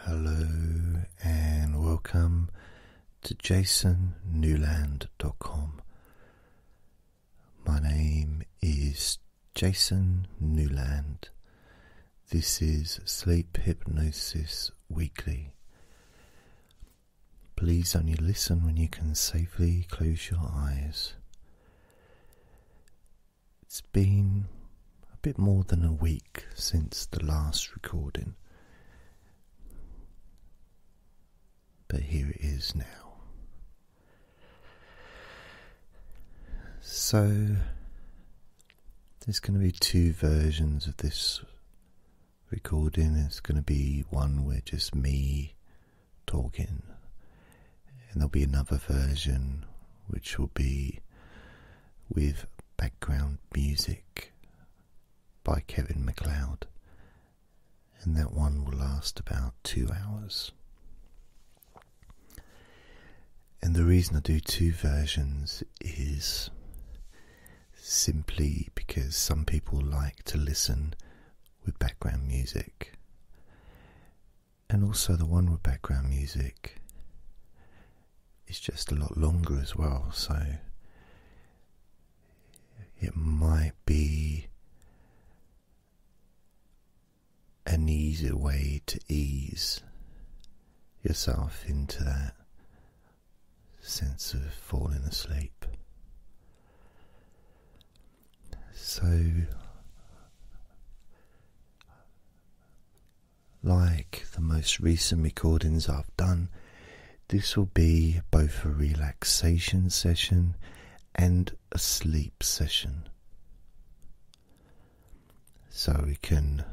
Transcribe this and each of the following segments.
Hello and welcome to jasonnewland.com. My name is Jason Newland. This is Sleep Hypnosis Weekly. Please only listen when you can safely close your eyes. It's been a bit more than a week since the last recording, but here it is now. So, there's going to be two versions of this recording. It's going to be one where just me talking, and there'll be another version which will be with background music by Kevin MacLeod, and that one will last about two hours. And the reason I do two versions is simply because some people like to listen with background music. And also, the one with background music it's just a lot longer as well, so it might be an easier way to ease yourself into that sense of falling asleep. So like the most recent recordings I've done, this will be both a relaxation session and a sleep session. So we can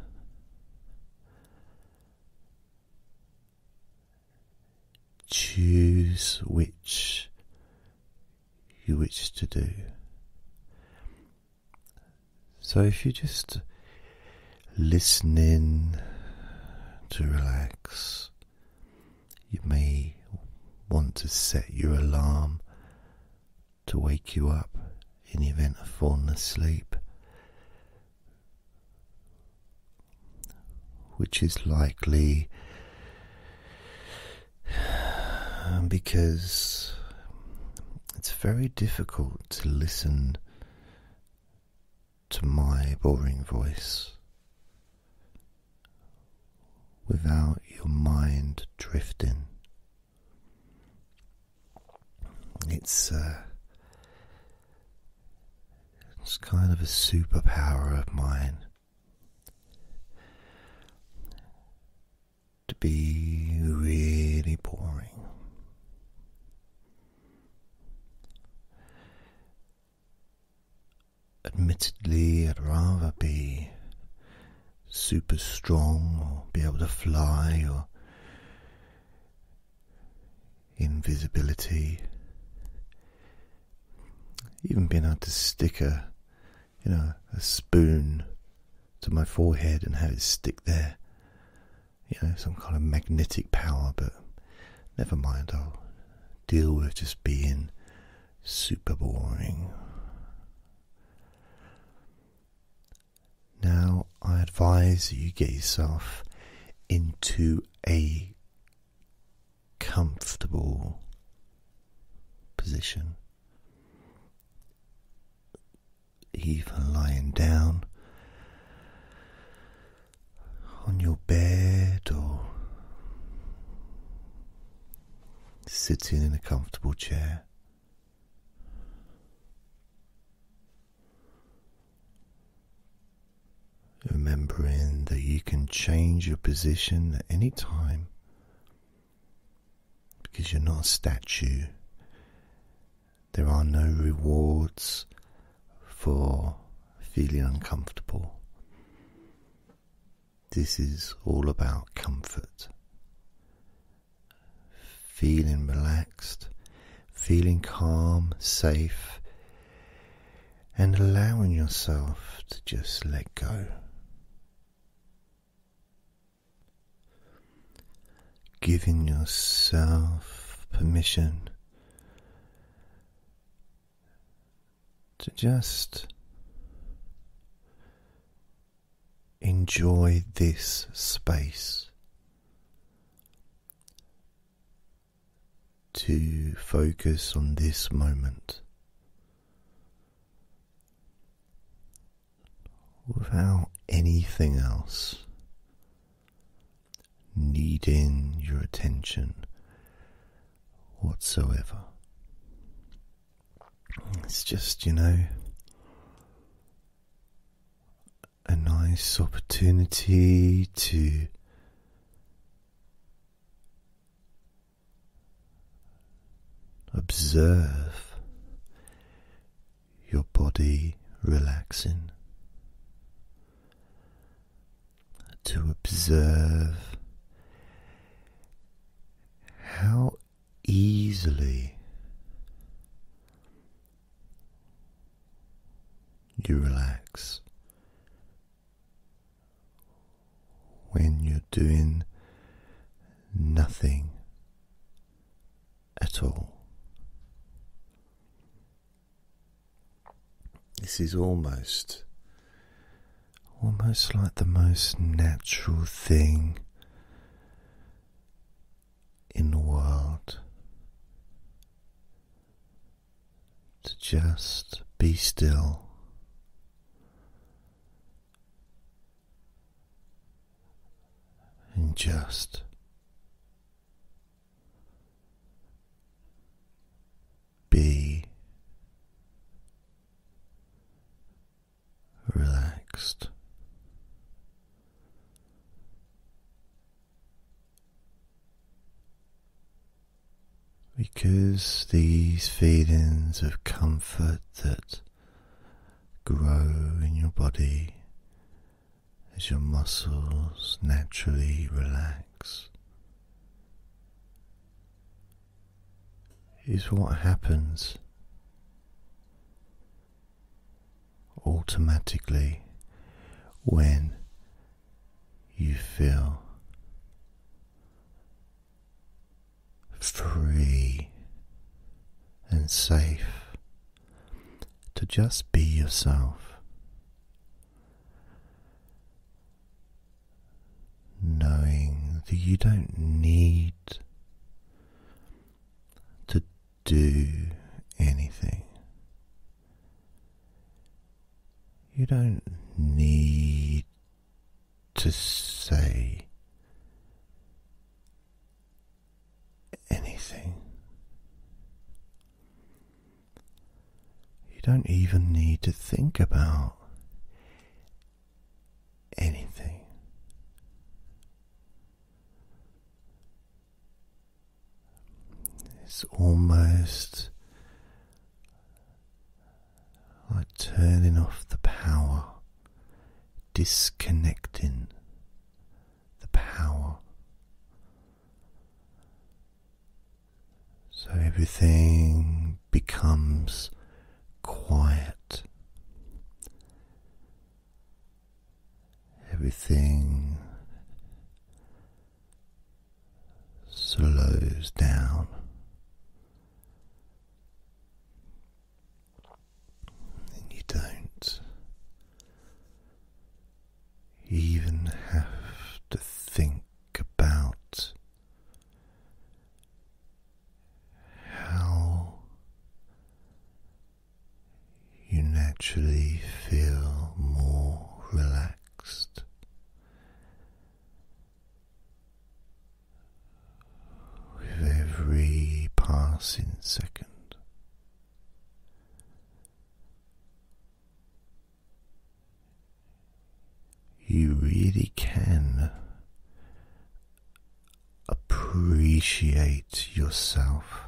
choose which you wish to do. So if you just listen in to relax, you may want to set your alarm to wake you up in the event of falling asleep, which is likely because it's very difficult to listen to my boring voice without your mind drifting. It's uh, it's kind of a superpower of mine to be really boring. Admittedly, I'd rather be super strong or be able to fly or invisibility, even being able to stick a you know a spoon to my forehead and have it stick there. You know, some kind of magnetic power, but never mind, I'll deal with just being super boring. Now, I advise you get yourself into a comfortable position even lying down on your bed or sitting in a comfortable chair. Remembering that you can change your position at any time because you're not a statue, there are no rewards for feeling uncomfortable. This is all about comfort. Feeling relaxed, feeling calm, safe, and allowing yourself to just let go. Giving yourself permission to just enjoy this space, to focus on this moment without anything else needing your attention whatsoever. It's just, you know, a nice opportunity to. Observe your body relaxing, to observe how easily you relax when you're doing nothing at all. This is almost, almost like the most natural thing in the world to just be still and just be relaxed. Because these feelings of comfort that grow in your body as your muscles naturally relax. Is what happens automatically when you feel free and safe to just be yourself. Knowing that you don't need to do anything, you don't need to say anything. You don't even need to think about anything. It's almost like turning off the power, disconnecting the power. So everything becomes quiet. Everything slows down you don't even have to think about how you naturally feel more relaxed. With every passing second, you really can appreciate yourself.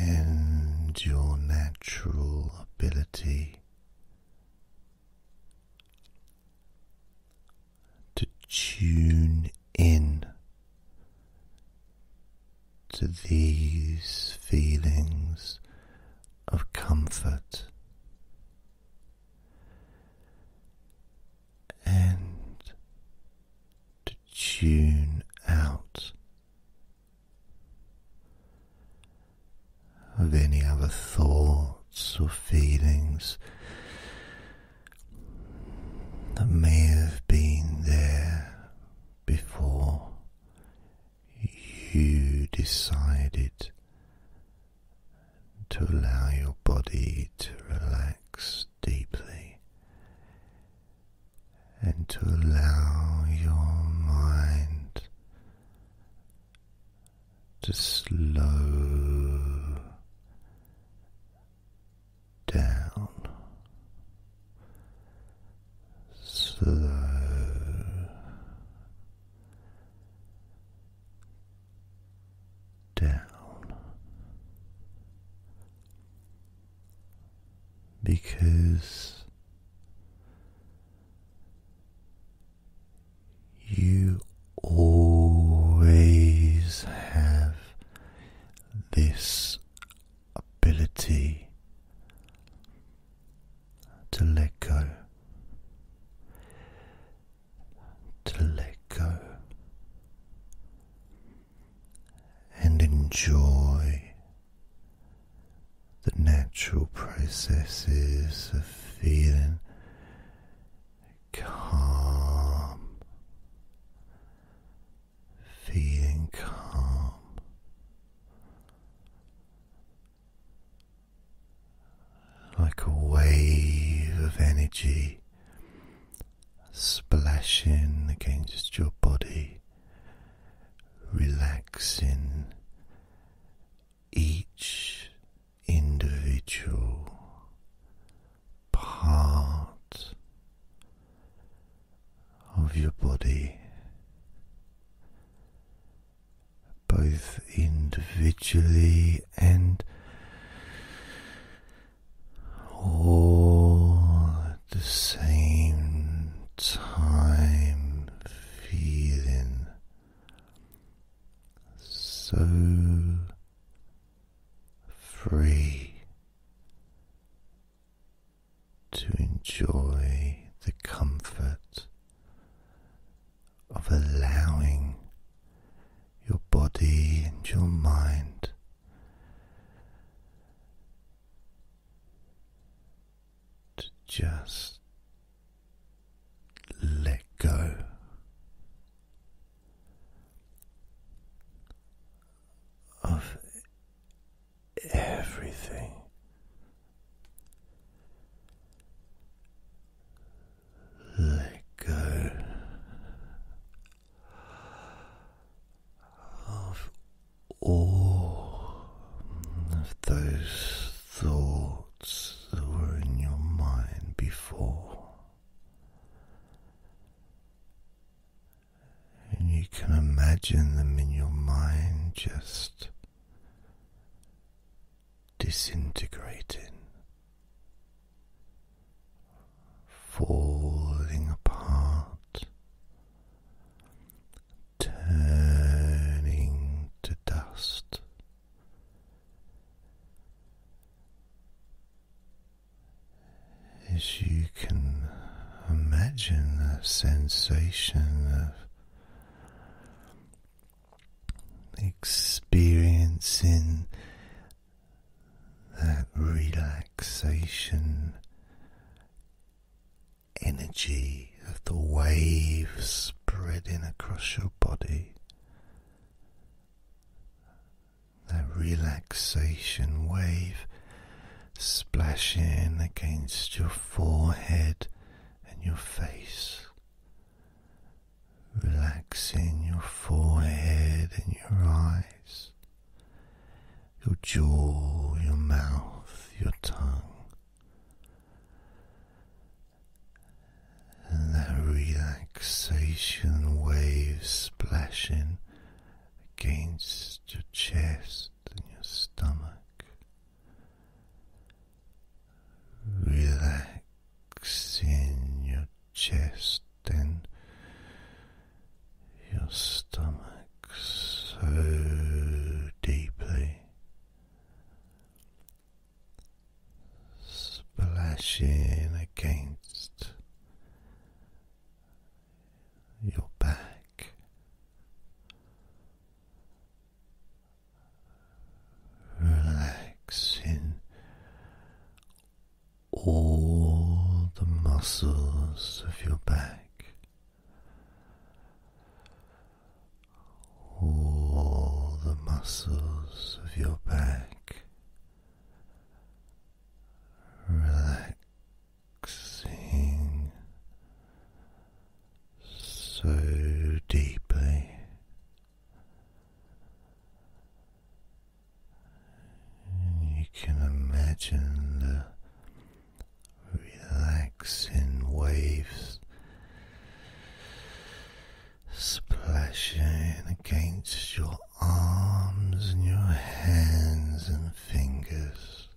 And your natural ability to tune in to these feelings of comfort and to tune out of any other thoughts or feelings that may have been there before you decided to allow your body to relax deeply and to allow your mind to slow down, slow down because you always have this ability to let go, to let go, and enjoy. The natural processes of feeling calm, feeling calm. Like a wave of energy splashing against your body, relaxing each individual part of your body, both individually and all at the same time, feeling so free to enjoy the comfort of allowing your body and your mind to just let go. Of everything, let go of all of those thoughts that were in your mind before. And you can imagine them in your mind just disintegrating, falling apart, turning to dust. As you can imagine the sensation of experiencing that relaxation energy of the waves spreading across your body that relaxation wave splashing against your forehead and your face, relaxing your forehead and your eyes, your jaw, your mouth, your tongue that relaxation wave splashing against your chest and your stomach, relaxing your chest and your stomach so deeply splashing against your back. Relaxing all the muscles of your back, all the muscles of your back relaxing so deeply. you can imagine the relaxing waves splashing against your arms and your hands and fingers,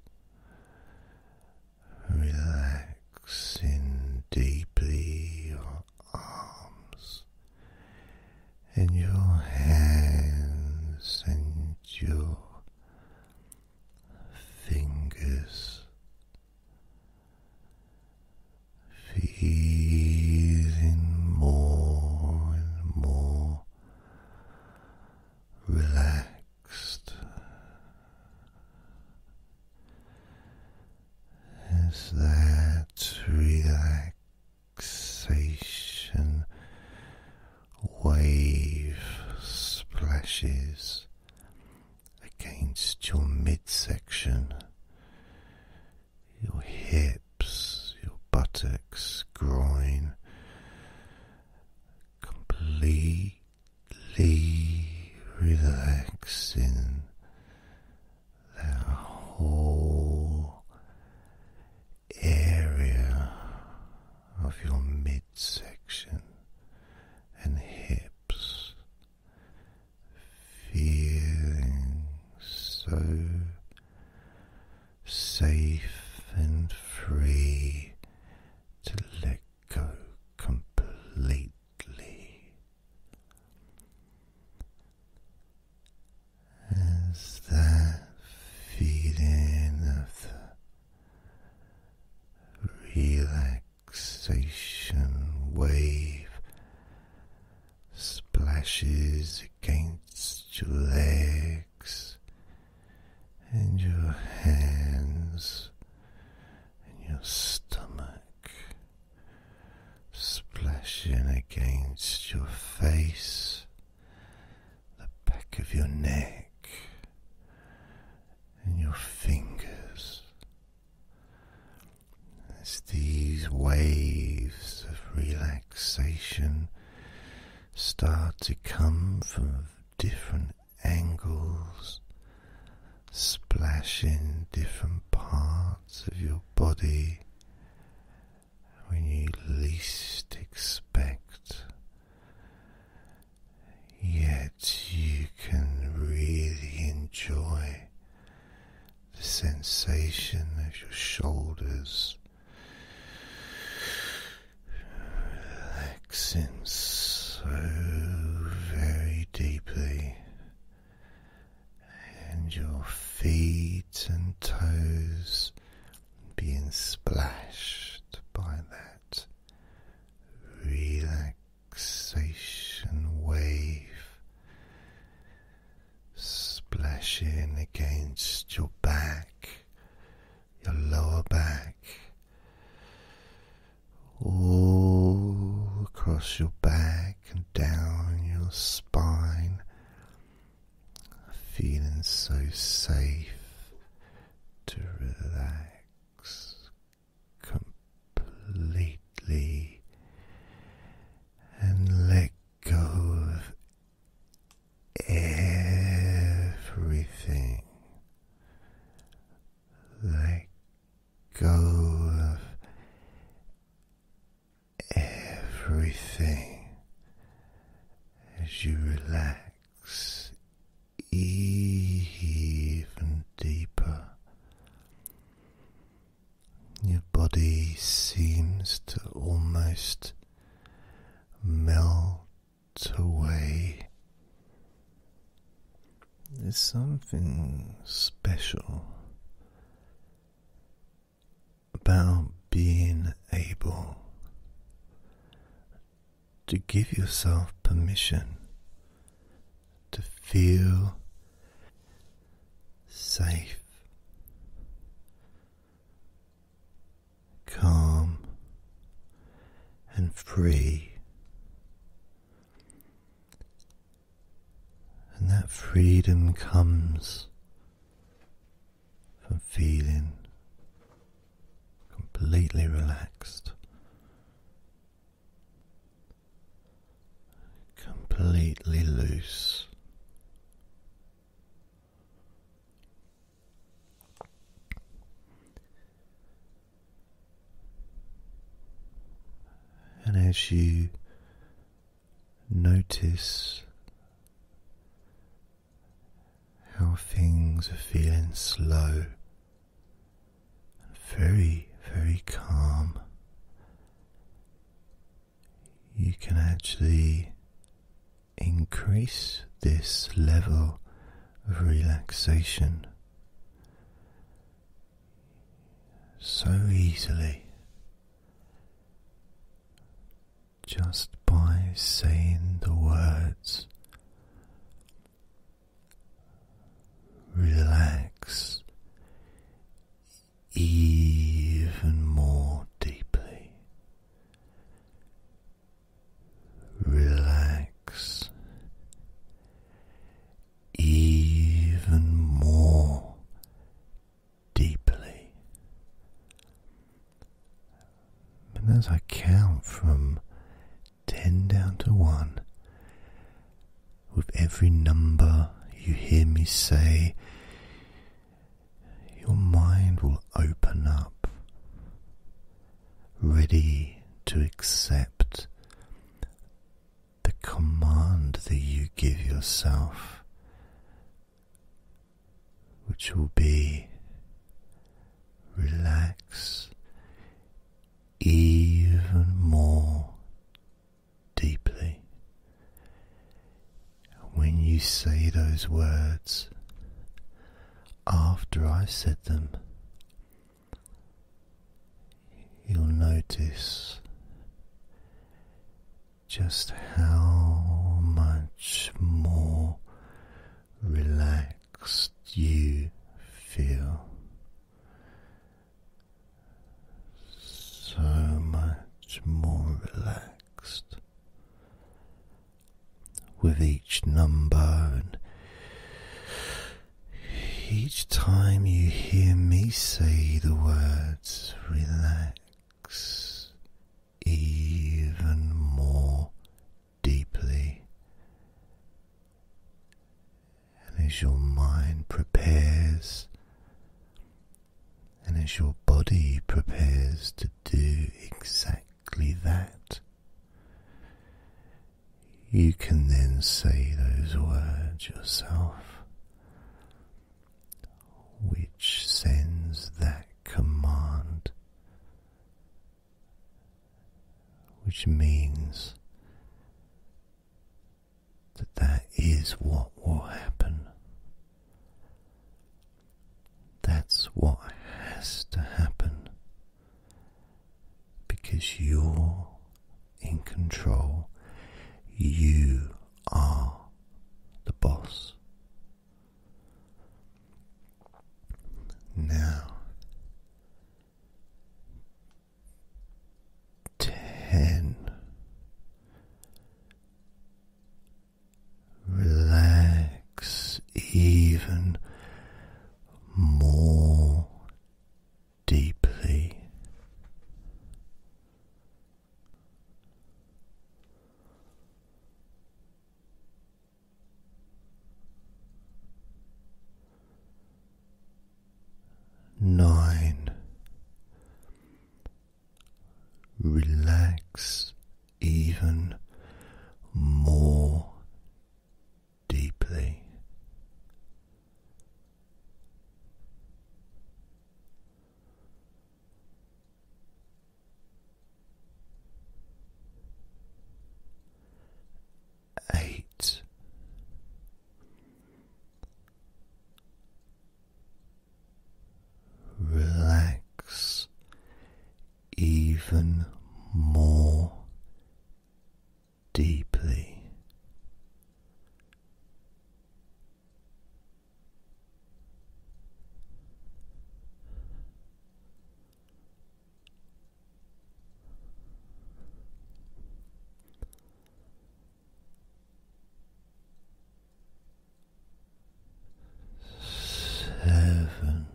relaxing deeply your arms and your hands and your fingers feeling more and more relaxed as that relaxation wave splashes against your midsection, your hips, your buttocks, groin, completely relaxing the whole area of your midsection and hips feeling so safe and free to let go completely as that feeling of the relaxation wave splashes against your legs and your hands and your stomach, splashing against your face, the back of your neck, and your fingers. As these waves of relaxation start to come from different angles, splashing different parts of your body when you least expect. Yet you can really enjoy the sensation of your shoulders relaxing so very deeply, and your feet and toes being splashed by that relaxation relaxation wave splashing against your back, your lower back, all across your back and down your spine, feeling so safe to relax completely and let go of everything. Let go of everything as you relax even deeper. Your body seems to almost melt away. There's something special about being able to give yourself permission to feel safe, calm, and free. And that freedom comes from feeling completely relaxed completely loose. And as you notice how things are feeling slow very, very calm. You can actually increase this level of relaxation so easily just by saying the words relax even more deeply. Relax even more deeply. And as I count from ten down to one, with every number you hear me say, your mind will open up, ready to accept the command that you give yourself, which will be relax even more deeply. When you say those words, after I said them, you'll notice just how much more relaxed you feel so much more relaxed with each number and each time you hear me say the words relax even more deeply and as your mind prepares and as your body prepares to do exactly that, you can then say those words yourself, which sends that command, which means that that is what will happen. That's what has to happen because you're in control. You are the boss. Now, ten. Relax even more deeply nine. Relax even more deeply eight. Relax even more deeply seven.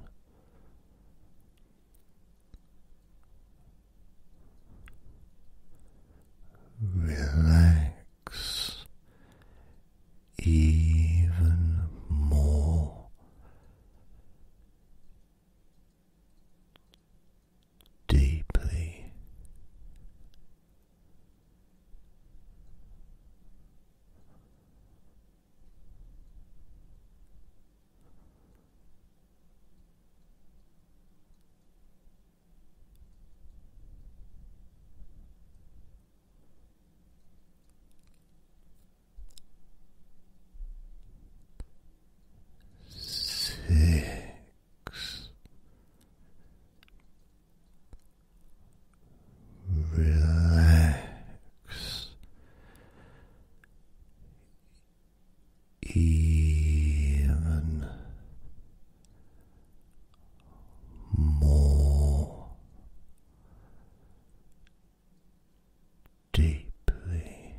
Relax even more deeply six relax, even more deeply.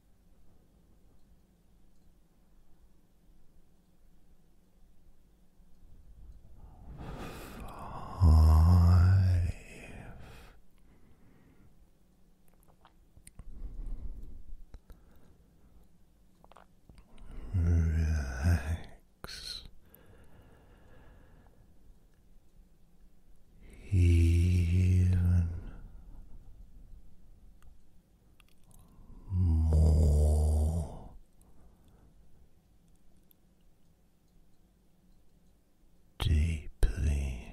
Five. Relax even more deeply.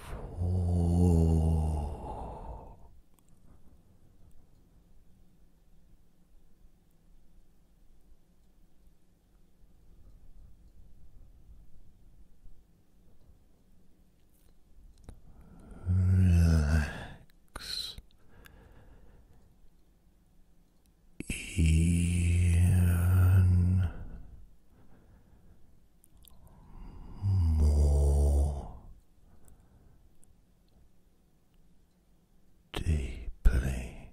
Four. Relax even more deeply.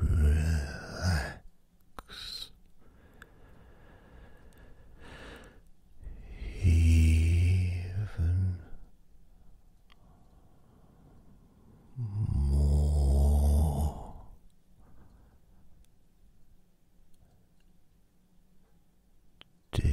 Relax even more deeply.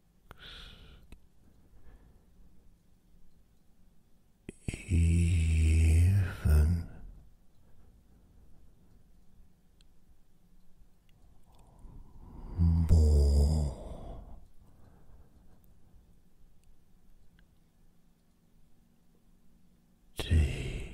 even more deeply.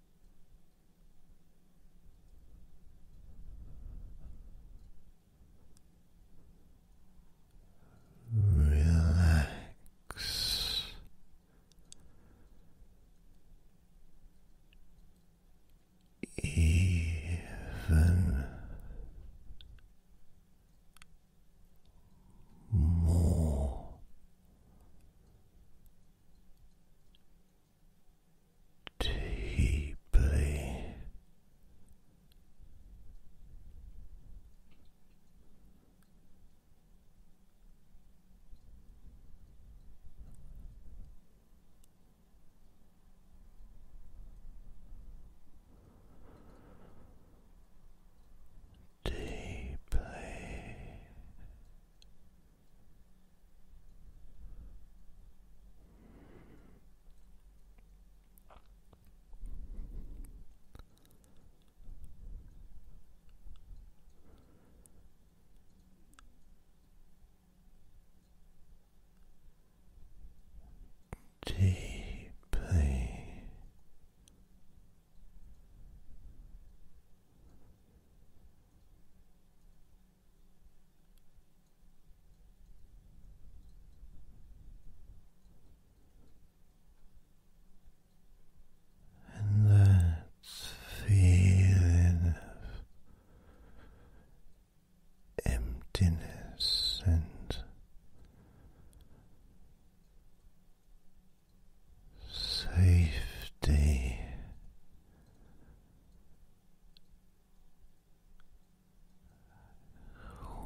Relax even more deeply deeply. Deeply and that feeling of emptiness and safety.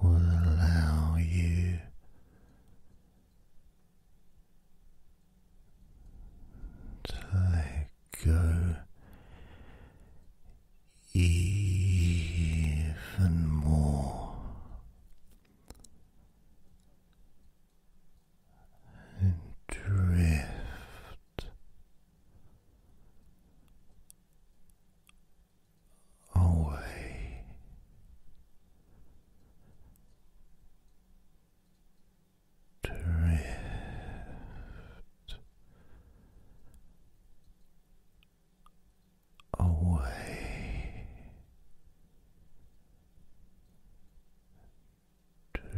Will allow you to let go even more and drift away. Drift away drift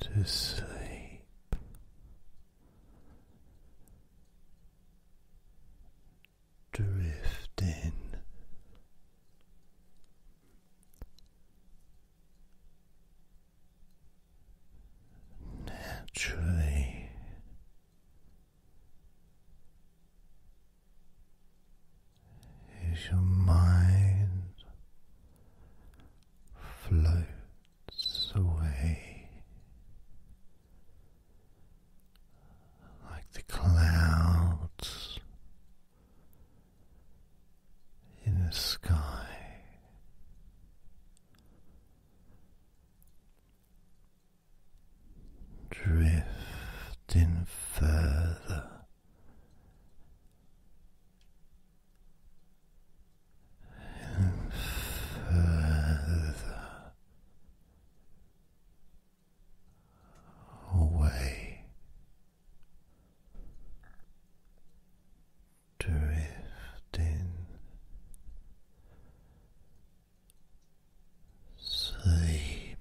to sleep. Drifting naturally as your mind floats away like the clouds in the sky, drifting further and further away, drifting sleeping,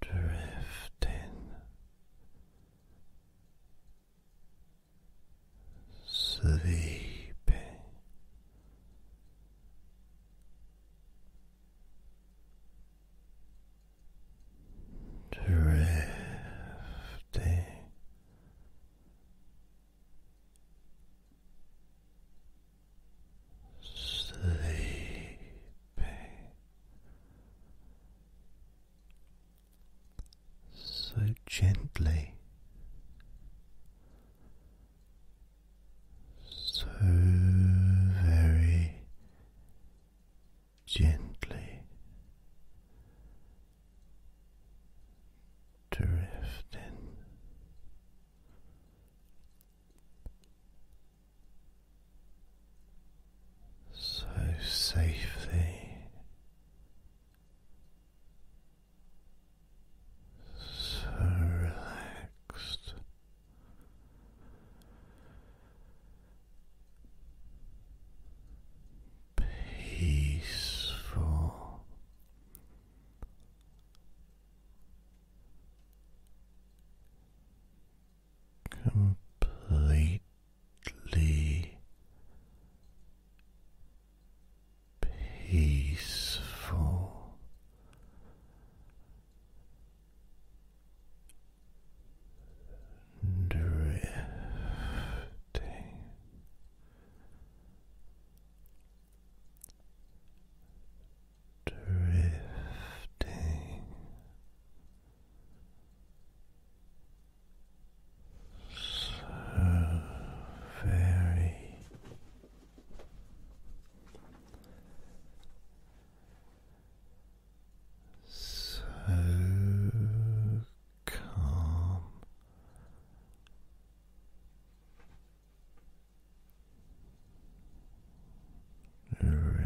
drifting, sleeping drifting. Sleeping, so gently, so very gently drifting so safely. So relaxed, peaceful. Completely peaceful drifting drifting so very so calm. Drifting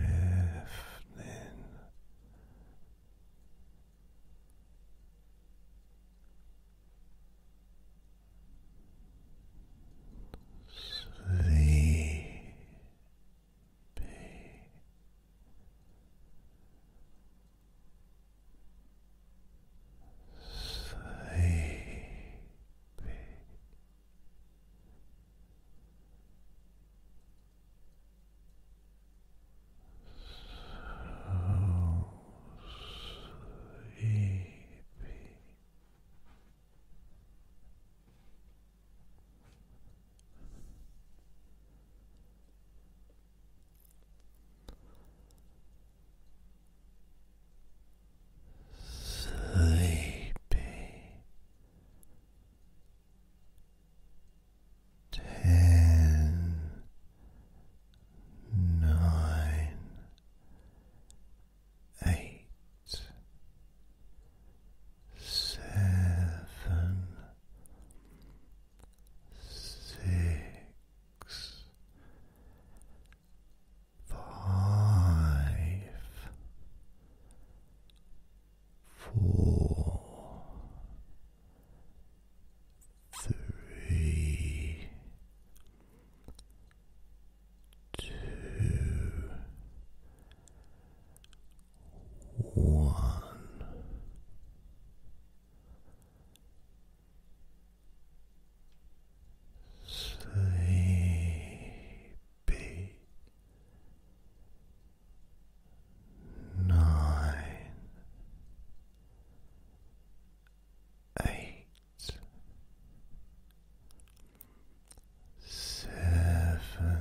sleep be sleepy. So sleepy. Sleepy, ten, nine, eight, seven, six, five, four, three, two, one. Sleepy nine, eight, seven,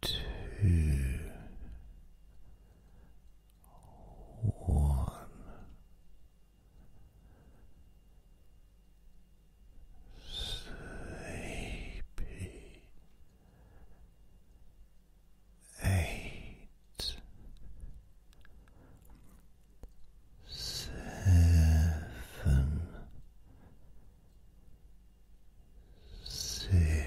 two, one, sleepy, eight, seven, six.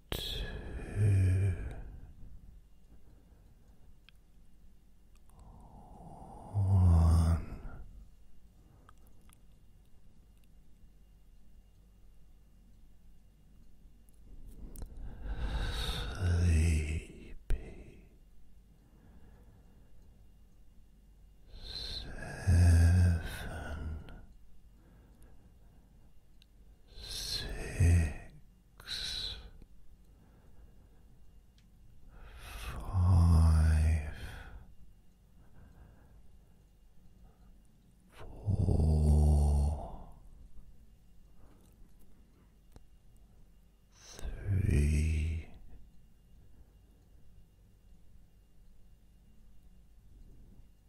two, one. Sleepy seven, six. Five, four, three,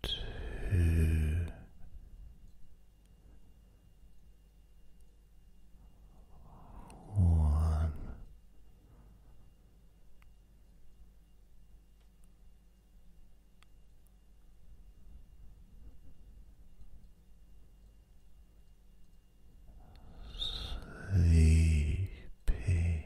two, one. Sleepy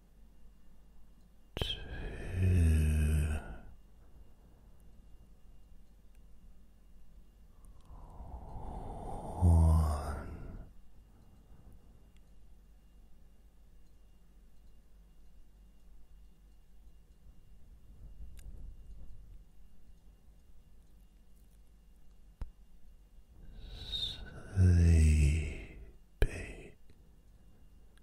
Two. One. Sleepy.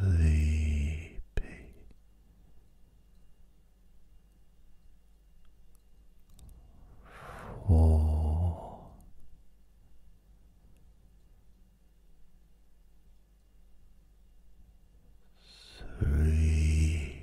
sleepy. Four, three,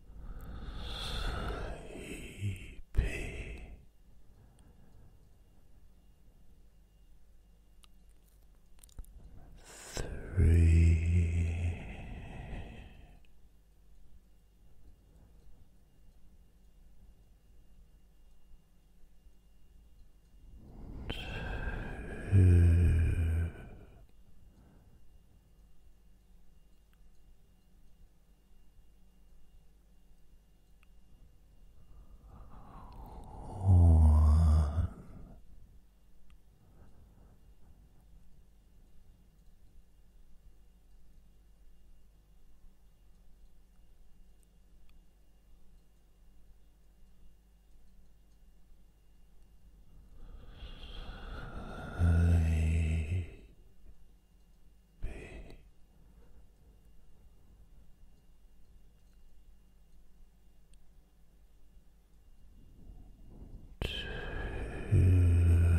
sleepy. Three, two, one. Sleep be. Two. One.